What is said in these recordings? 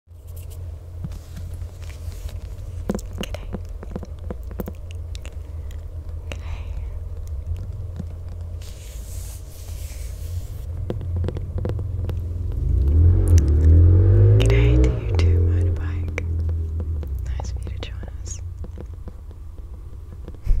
Good day. Good day. Good day to you too, motorbike. Nice to join us. Good day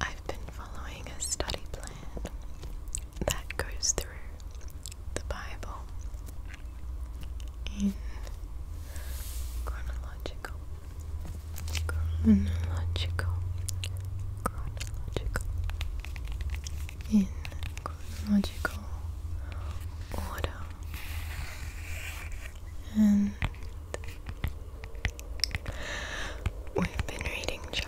I've been following a study plan that goes through the Bible in chronological, chronological, chronological in chronological order and we've been reading Job.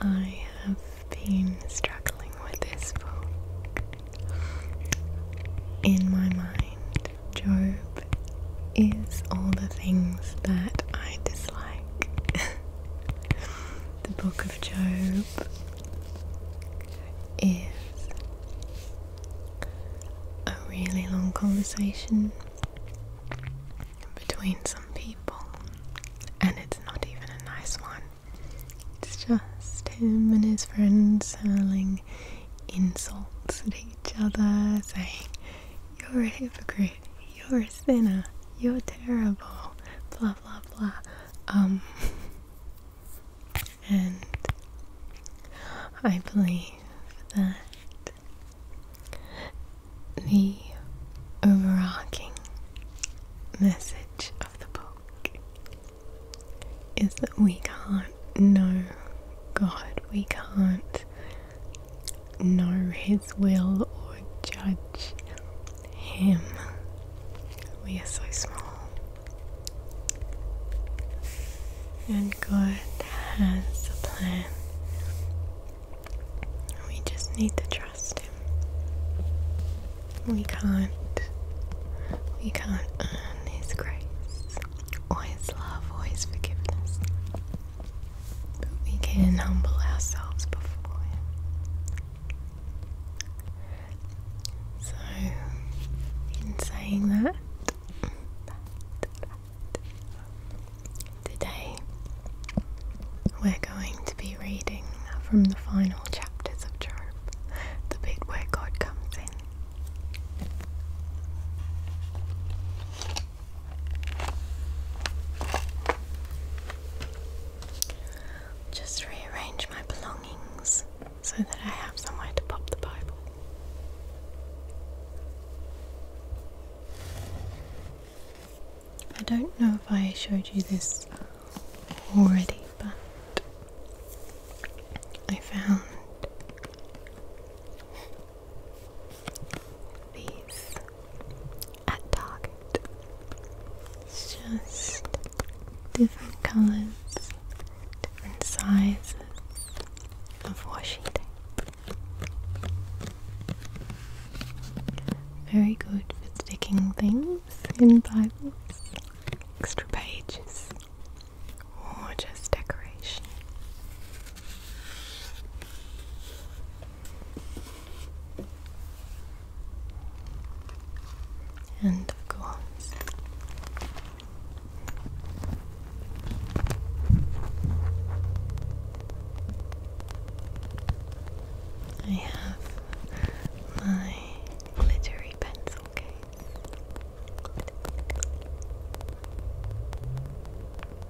I have been struggling with this book. In my mind, Job is all the things that I dislike. the book of Job is a really long conversation between some people, and it's not even a nice one. It's just him and his friends hurling insults at each other, saying, You're a hypocrite, you're a Spinna, you're terrible, blah blah blah. Um, and I believe that the overarching message of the book is that we can't know God, we can't know His will or judge Him. We are so small. And God has a plan. We just need to trust Him. We can't. We can't earn His grace Always love or forgiveness we can humble ourselves before Him. So, in saying that today we're going to be reading from the final chapters of Job, the bit where God comes in. Just rearrange my belongings so that I have somewhere to pop the Bible. I don't know if I showed you this already, but I found these at Target. It's just different colours, different sizes of washi tape. Very good for sticking things in Bibles, extra pages, or just decoration. And of course, I have my glittery pencil case.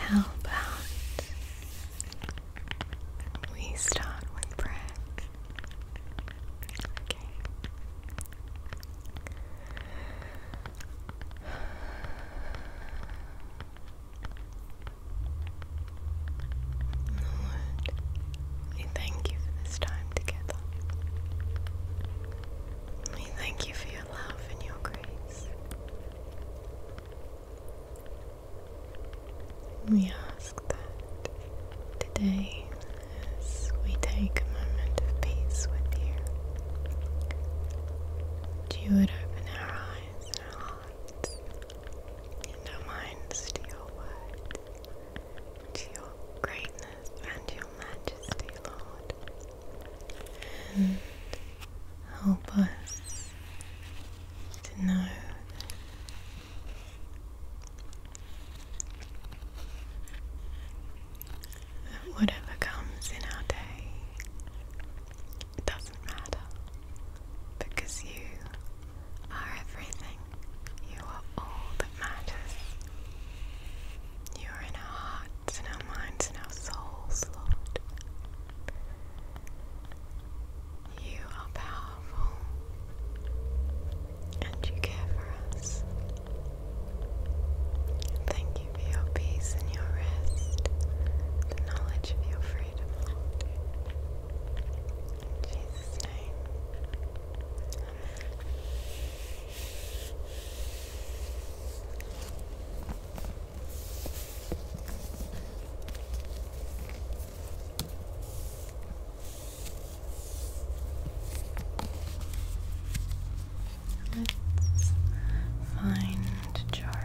how about we start with brick? Okay. Lord, we thank you for this time together. We thank you for your love and your grace. We ask that today, as we take a moment of peace with you, that you would open our eyes, our hearts, and our minds to your word, to your greatness and your majesty, Lord and help us to know that that whatever comes in our day, it doesn't matter because you are everything. You are all that matters. You are in our hearts, in our minds, in our souls, Lord. You are powerful and you care for us. Thank you for your peace and your rest, the knowledge of your freedom, Jesus' Let's find Jarb.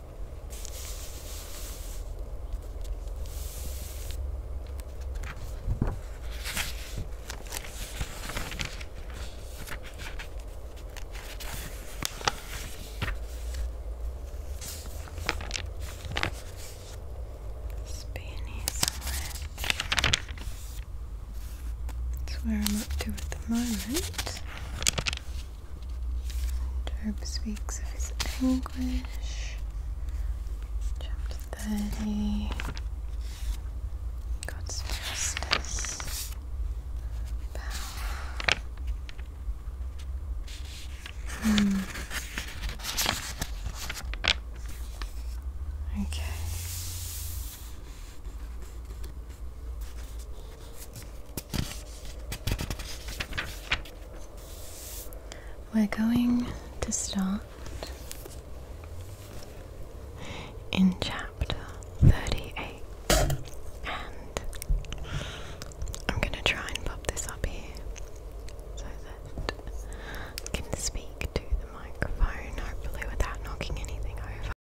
Spanish That's where I'm up to at the moment. Job speaks of his anguish. Chapter 30 God's justice, hmm. Okay. We're going to start in chapter 38, and I'm going to try and pop this up here so that can speak to the microphone, hopefully, without knocking anything over.